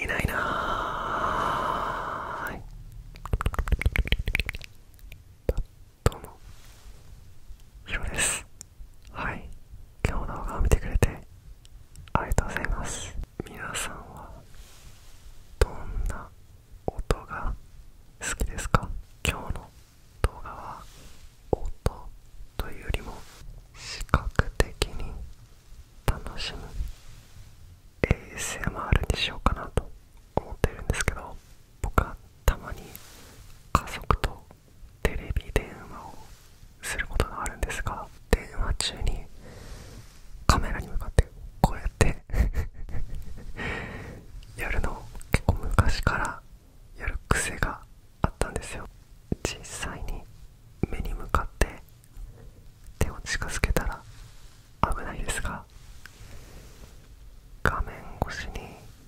いないなーどうもヒロですはい今日の動画を見てくれてありがとうございます皆さんはどんな音が好きですか今日の動画は音というよりも視覚的に楽しむ ASMR にしようかなと思ってるんですけど僕はたまに家族とテレビ電話をすることがあるんですが電話中にカメラに向かってこうやって やるのを結構昔からやる癖があったんですよ実際に目に向かって手を近づけたら危ないですが画面越しに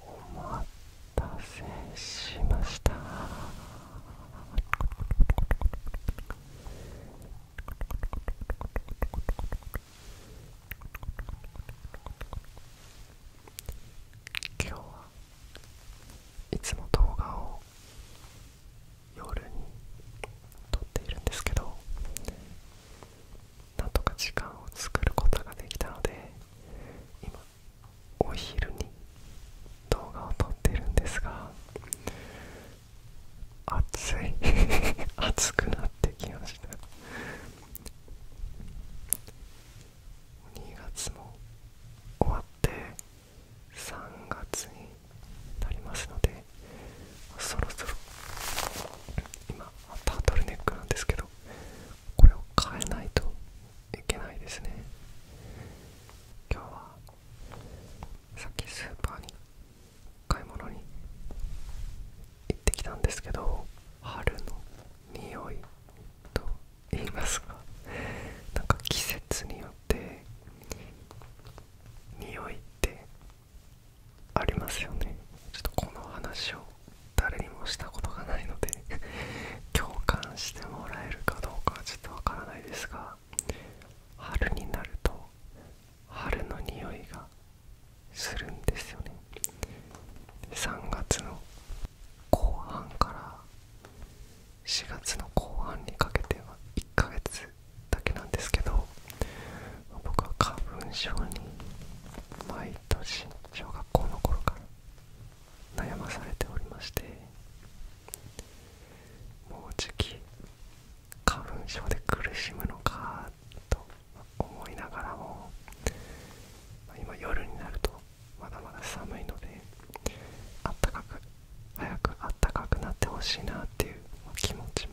お待たせしました今日はいつも動画を夜に撮っているんですけどなんとか時間を作ることができたので今お昼に動画を撮ってるんですが暑い 暑くなってきました2月も終わって3月になりますのでそろそろ今タートルネックなんですけどこれを変えないといけないですね今日はさっきスーパーに買い物に行ってきたんですけど春の匂いと言いますかなんか季節によって匂いってありますよねちょっとこの話を誰にもしたことがないので 共感してもらえるかどうかはちょっとわからないですが春になると春の匂いがするんですよね3月の後半から4月の後半にかけては1ヶ月だけなんですけど僕は花粉症に毎年小学校の頃から悩まされておりましてもうじき花粉症で苦しむのかと思いながらも今夜になるとまだまだ寒いのであったかく早くあったかくなってほしいなっていう気持ちも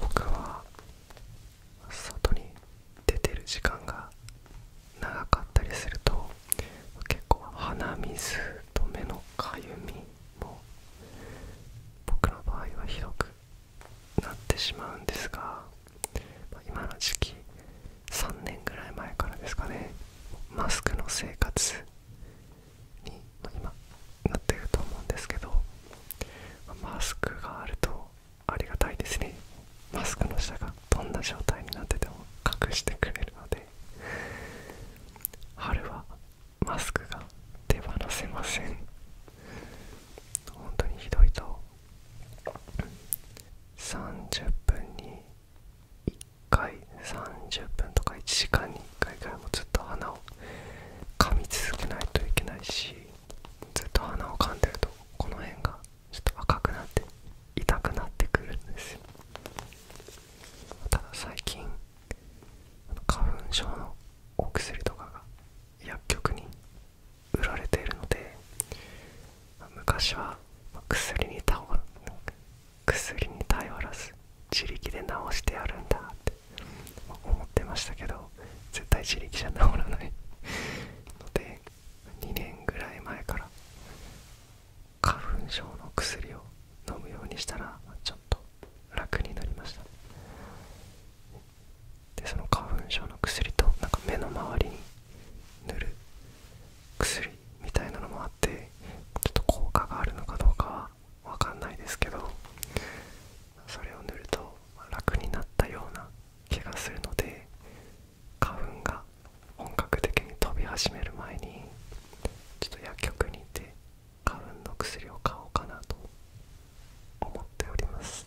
僕は外に出てる時間が長かったりすると結構鼻水と目のかゆみも僕の場合はひどくなってしまうんですが今の時期3年ぐらい前からですかねマスクの生活に今なってると思うんですけどマスクがあるとありがたいですねマスクの下がどんな状態になってても隠してくれるので春はマスクが手放せません本当にひどいと30分に1回30分とか1時間に1回ぐらいもずっと鼻を噛み続けないといけないしずっと鼻を噛んでるとこの辺がちょっと赤くなって痛くなってくるんですよただ最近花粉症のお薬とかが薬局に売られているので昔は薬に頼薬に頼らず自力で治してやるんだって思ってましたけど絶対自力じゃ治らないので2年ぐらい前から花粉症の薬を飲むようにしたらちょっと楽になりましたでその花粉症の薬となんか目の周りに塗る薬みたいなのもあってちょっと効果があるのかどうかは分かんないですけどそれを塗ると楽になったような気がするので花粉が本格的に飛び始める前にちょっと薬局に行って花粉の薬を買おうかなと思っております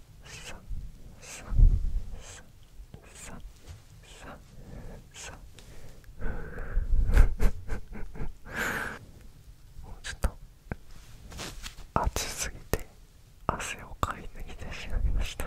もうちょっと暑すぎて汗をかい抜きてしまいました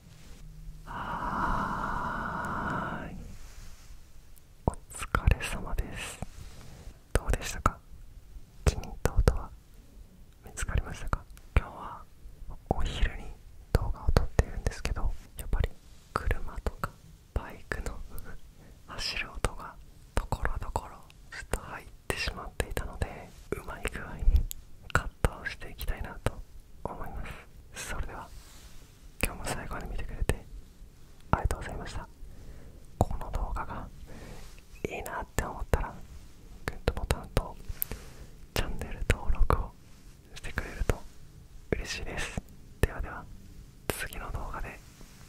はーいお疲れ様ですどうでしたか気に入った音は見つかりましたか今日はお昼に動画を撮ってるんですけどやっぱり車とかバイクの 走る音がところどころずっと入ってしまっていたのでうまい具合にカットをしていきたいなと思いますそれでは今日も最後まで見てくれてありがとうございましたこの動画がいいなって思ったらグッドボタンとチャンネル登録をしてくれると嬉しいですではでは次の動画で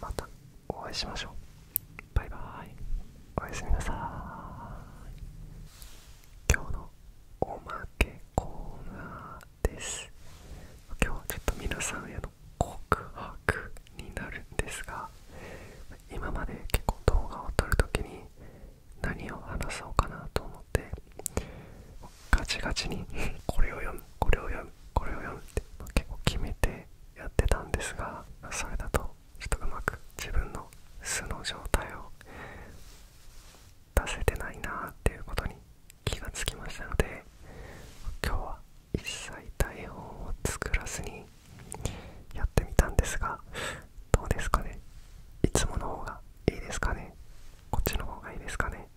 またお会いしましょうバイバーイおやすみなさーい今日のおまけコーナー。です今日はちょっと皆さんへの告白になるんですが今まで結構動画を撮る時に何を話そうかなと思ってガチガチに これを読むこれを読むこれを読むって結構決めてやってたんですがそれだとちょっとうまく自分の素の状態を出せてないなっていうことに気がつきましたので今日は一切台本を作らずにやってみたんですがどうですかねいつもの方がいいですかねこっちの方がいいですかね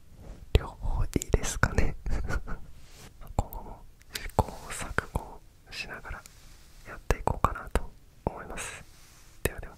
両方いいですかね 今後も試行錯誤しながらやっていこうかなと思いますではでは